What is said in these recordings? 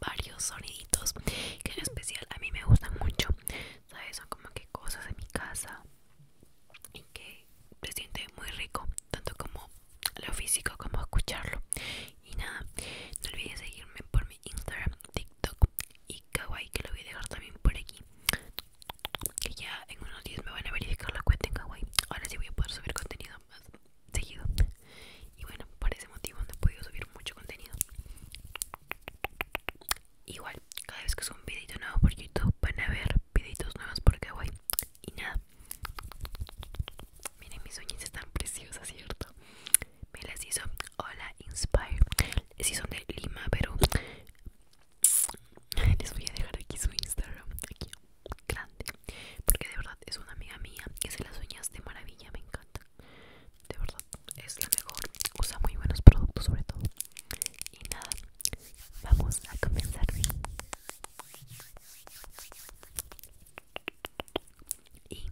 varios soniditos que en especial a mí me gustan mucho sabes son como que cosas en mi casa y que se siente muy rico tanto como lo físico como escucharlo y nada no olvides seguirme por mi Instagram TikTok y Kawaii que lo voy a dejar también por aquí que ya en unos días me van a verificar la cuenta en Kawaii ahora sí voy a poder subir contenido más seguido y bueno por ese motivo no he podido subir mucho contenido igual cada vez que subo un videito nuevo por youtube van a ver videitos nuevos por kawaii y nada miren mis uñas están preciosas cierto me las hizo hola inspire Sí son de lima pero les voy a dejar aquí su instagram aquí grande porque de verdad es una amiga mía que se las uñas de maravilla me encanta de verdad es la mejor, usa muy buenos productos sobre todo. Y nada, vamos a comenzar. Y,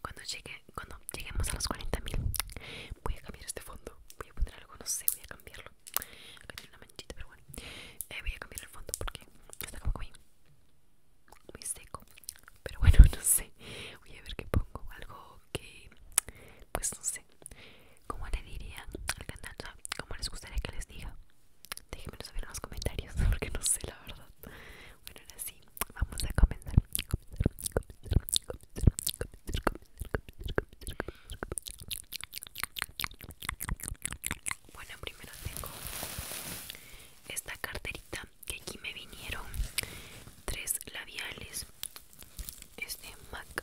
cuando, llegue, cuando lleguemos a los 40.000 voy a cambiar este fondo. Voy a poner algo, no sé, voy a cambiarlo. Acá tiene una manchita, pero bueno. Eh, voy a cambiar el fondo porque está como que muy seco pero bueno no sé voy a ver qué pongo algo que pues no sé cómo le diría al cantante cómo les gustaría que les diga déjenmelo saber en los comentarios porque no sé la verdad bueno ahora sí vamos a comenzar bueno primero tengo esta carterita que aquí me vinieron tres labiales este MAC,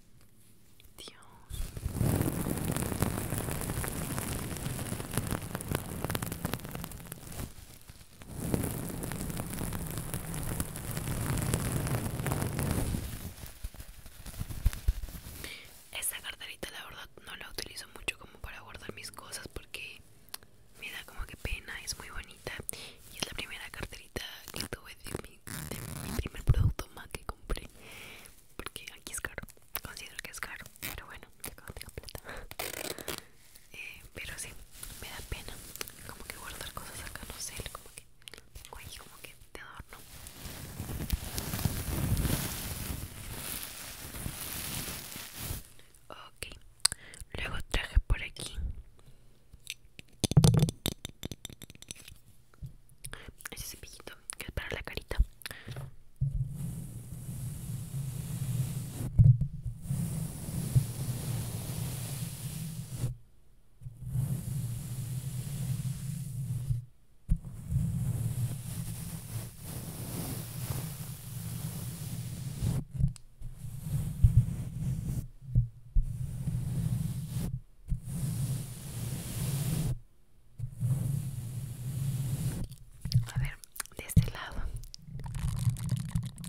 Dios. Esta carterita la verdad no la utilizo mucho como para guardar mis cosas porque me da como que pena, es muy bonita y es la primera carterita que tuve de mi, mi primer producto más que compré porque aquí es caro considero que es caro pero bueno tengo plata eh, pero sí me da pena como que guardar cosas acá no sé como que tengo ahí como que Te adorno ok luego traje por aquí ese piquito que es para la carita a ver, de este lado. Siente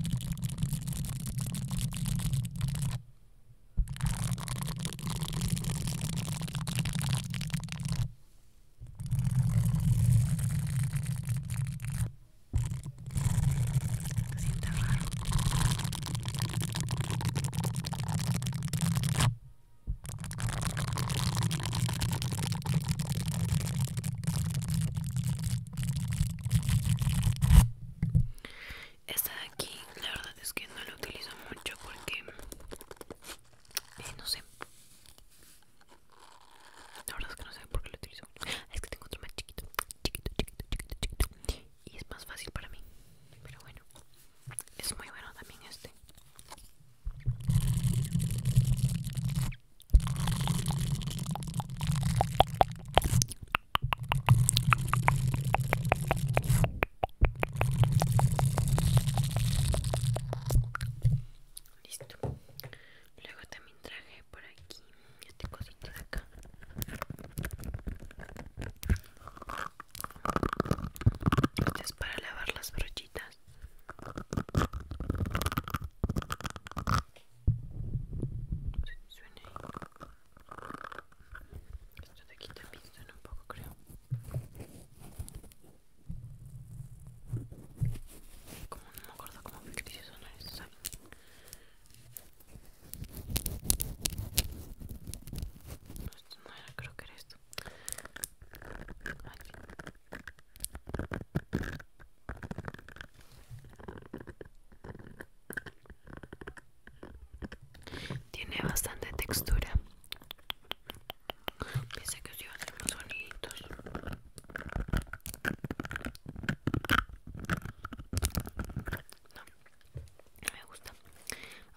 raro. Esta de aquí, la verdad es que no la utilizo mucho porque eh, no sé. La verdad es que no sé por qué la utilizo. Es que tengo otro más chiquito, chiquito, chiquito, chiquito y es más fácil para mí pero bueno es muy bueno también este Listo. Luego también traje por aquí este cosito de acá. Esto es para lavar las brochitas. si, suena ahí. Esto de aquí también suena un poco, creo. Como no me acuerdo cómo ficticio son estos. No, no era, creo que era esto. Tiene bastante textura. Pensé que os iba a sonidos no, no me gusta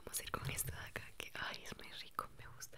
vamos a ir con esto de acá que ay es muy rico me gusta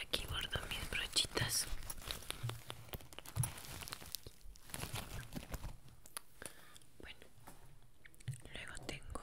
Aquí bordo mis brochitas. Bueno, luego tengo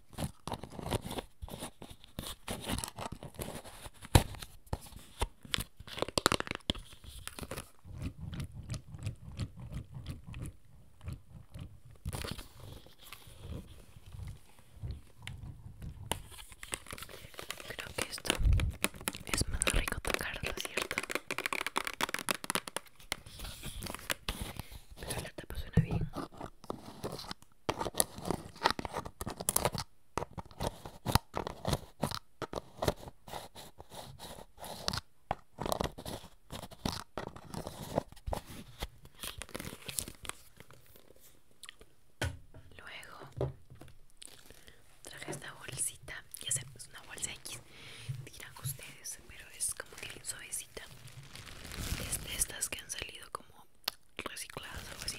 Creo que esto es más rico tocarlo, ¿cierto? Pero la tapa suena bien. Luego traje esta bolsita, y sé, es una bolsa X, dirán ustedes, pero es como que suavecita estas que han salido como recicladas o así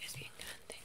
es bien grande.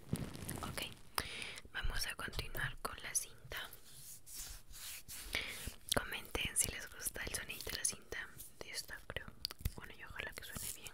Ok, vamos a continuar con la cinta. Comenten si les gusta el sonido de la cinta de esta, creo. Bueno, yo ojalá que suene bien.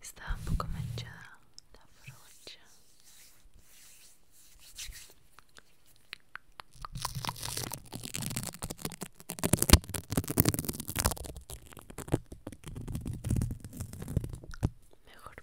Estaba un poco manchada la brocha. Mejor.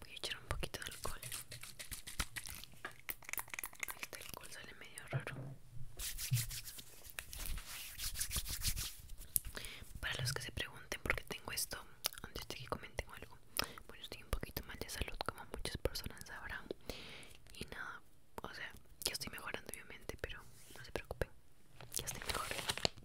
Voy a echar un poquito de alcohol. Este alcohol sale medio raro. Para los que se pregunten por qué tengo esto, antes de que comenten algo, bueno, estoy un poquito mal de salud, como muchas personas sabrán. Y nada, o sea, yo estoy mejorando obviamente, pero no se preocupen, ya estoy mejor.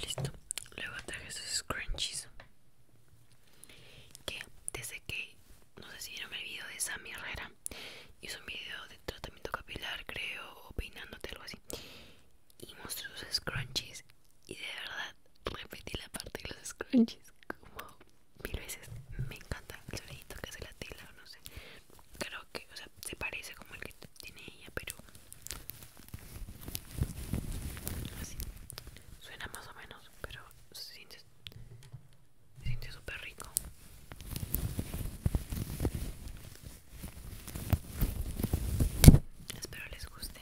Listo. Luego traje sus scrunchies. Que desde que no sé si vieron el video de Sammy Herrera, hizo un video de tratamiento capilar, creo, o peinándote, algo así. Y mostró sus scrunchies. Y de verdad, repetí la parte de los scrunchies como mil veces. Me encanta el sonidito que hace la tela, no sé. Creo que, o sea, se parece como el que tiene ella, pero Así. Suena más o menos, pero se siente, se siente súper rico. Espero les guste.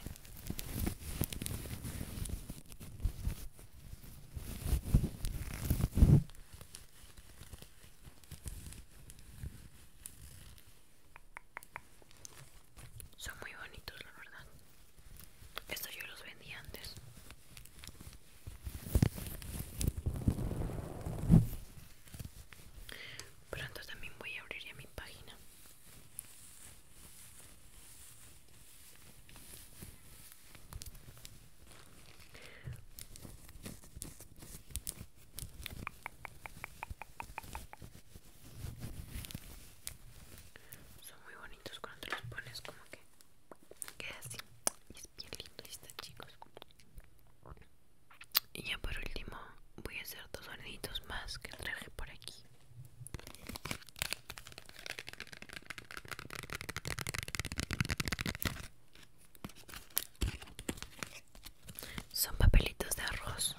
Son muy bonitos, la verdad. Estos yo los vendí antes. Pronto también voy a abrir ya mi página. Son muy bonitos cuando los pones como que queda así. Y es bien lindo y están chicos. Y ya por último voy a hacer dos soniditos más que traje por aquí son papelitos de arroz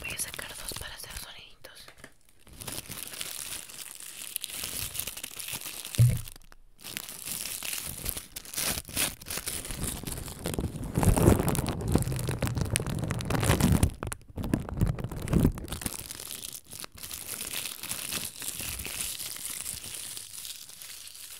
voy a sacar dos para hacer soniditos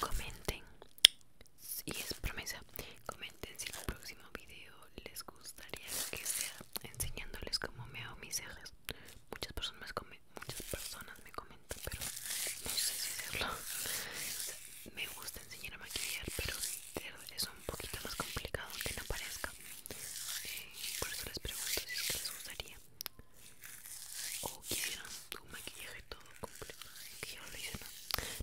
Comenten y es promesa. Comenten si en el próximo video les gustaría que sea enseñándoles cómo me hago mis cejas. Muchas personas, muchas personas me comentan, pero no sé si hacerlo. Me gusta enseñar a maquillar, pero es un poquito más complicado que no parezca por eso les pregunto si es que les gustaría o quisieran un maquillaje todo completo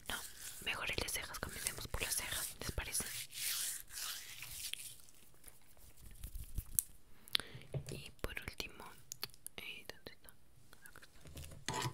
no, mejor el las cejas comencemos por las cejas les parece y por último eh, ¿dónde está? Acá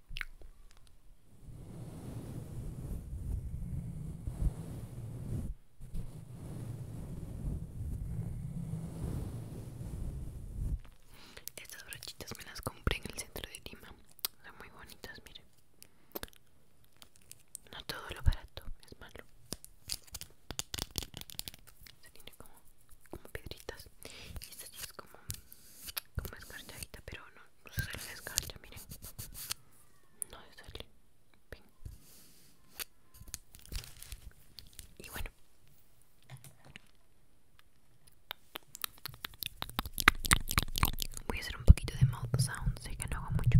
Estas brochitas me las compré en el centro de Lima. Son muy bonitas, miren. No todo lo barato es malo. Se tiene como, como piedritas. Y esta sí es como, como escarchadita, pero no, No se Voy a hacer un poquito de mouth sound, no hago mucho.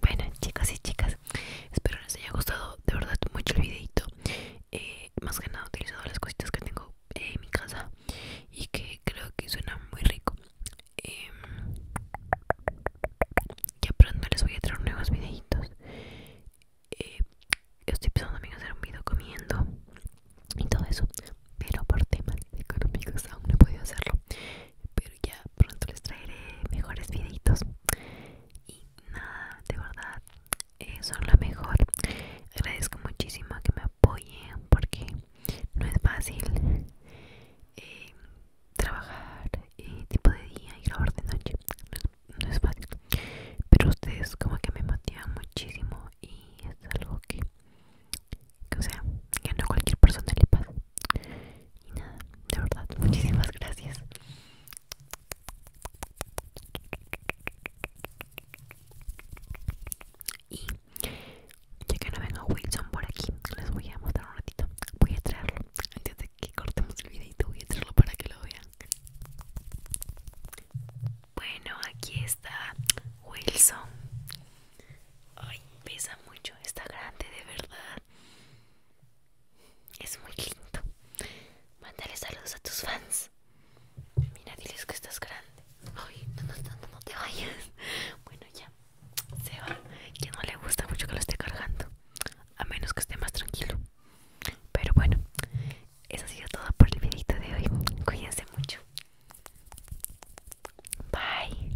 Bueno chicas y chicas Espero les haya gustado de verdad mucho el videito eh, Más que nada he utilizado las cositas que tengo en mi casa Y que creo que suena muy rico em, Ya pronto les voy a traer nuevos videitos Yo eh, Estoy pensando en hacer un video comiendo Y todo eso Pero por temas económicos aún no he podido hacerlo Pero ya pronto les traeré mejores videitos y nada, de verdad, eso son lo mejor. Agradezco muchísimo que me apoyen porque no es fácil eh, trabajar tipo de día y grabar de noche. No es, fácil. Pero ustedes como que me motivan muchísimo y es algo que, que o sea, que no cualquier persona le pasa. Y nada, de verdad, muchísimas gracias. Y ya que no venga Wilson por aquí, les voy a mostrar un ratito. Voy a traerlo antes de que cortemos el videito. Voy a traerlo para que lo vean. Bueno, aquí está Wilson. Ay, pesa mucho. Está grande, de verdad. Es muy lindo. Mándale saludos a tus fans. Mira, diles que estás grande. Ay, no, no, no, te vayas. Bueno, ya. Se va. Que no le gusta mucho que lo esté cargando. A menos que esté más tranquilo. Pero bueno, eso ha sido todo por el videito de hoy. Cuídense mucho. Bye.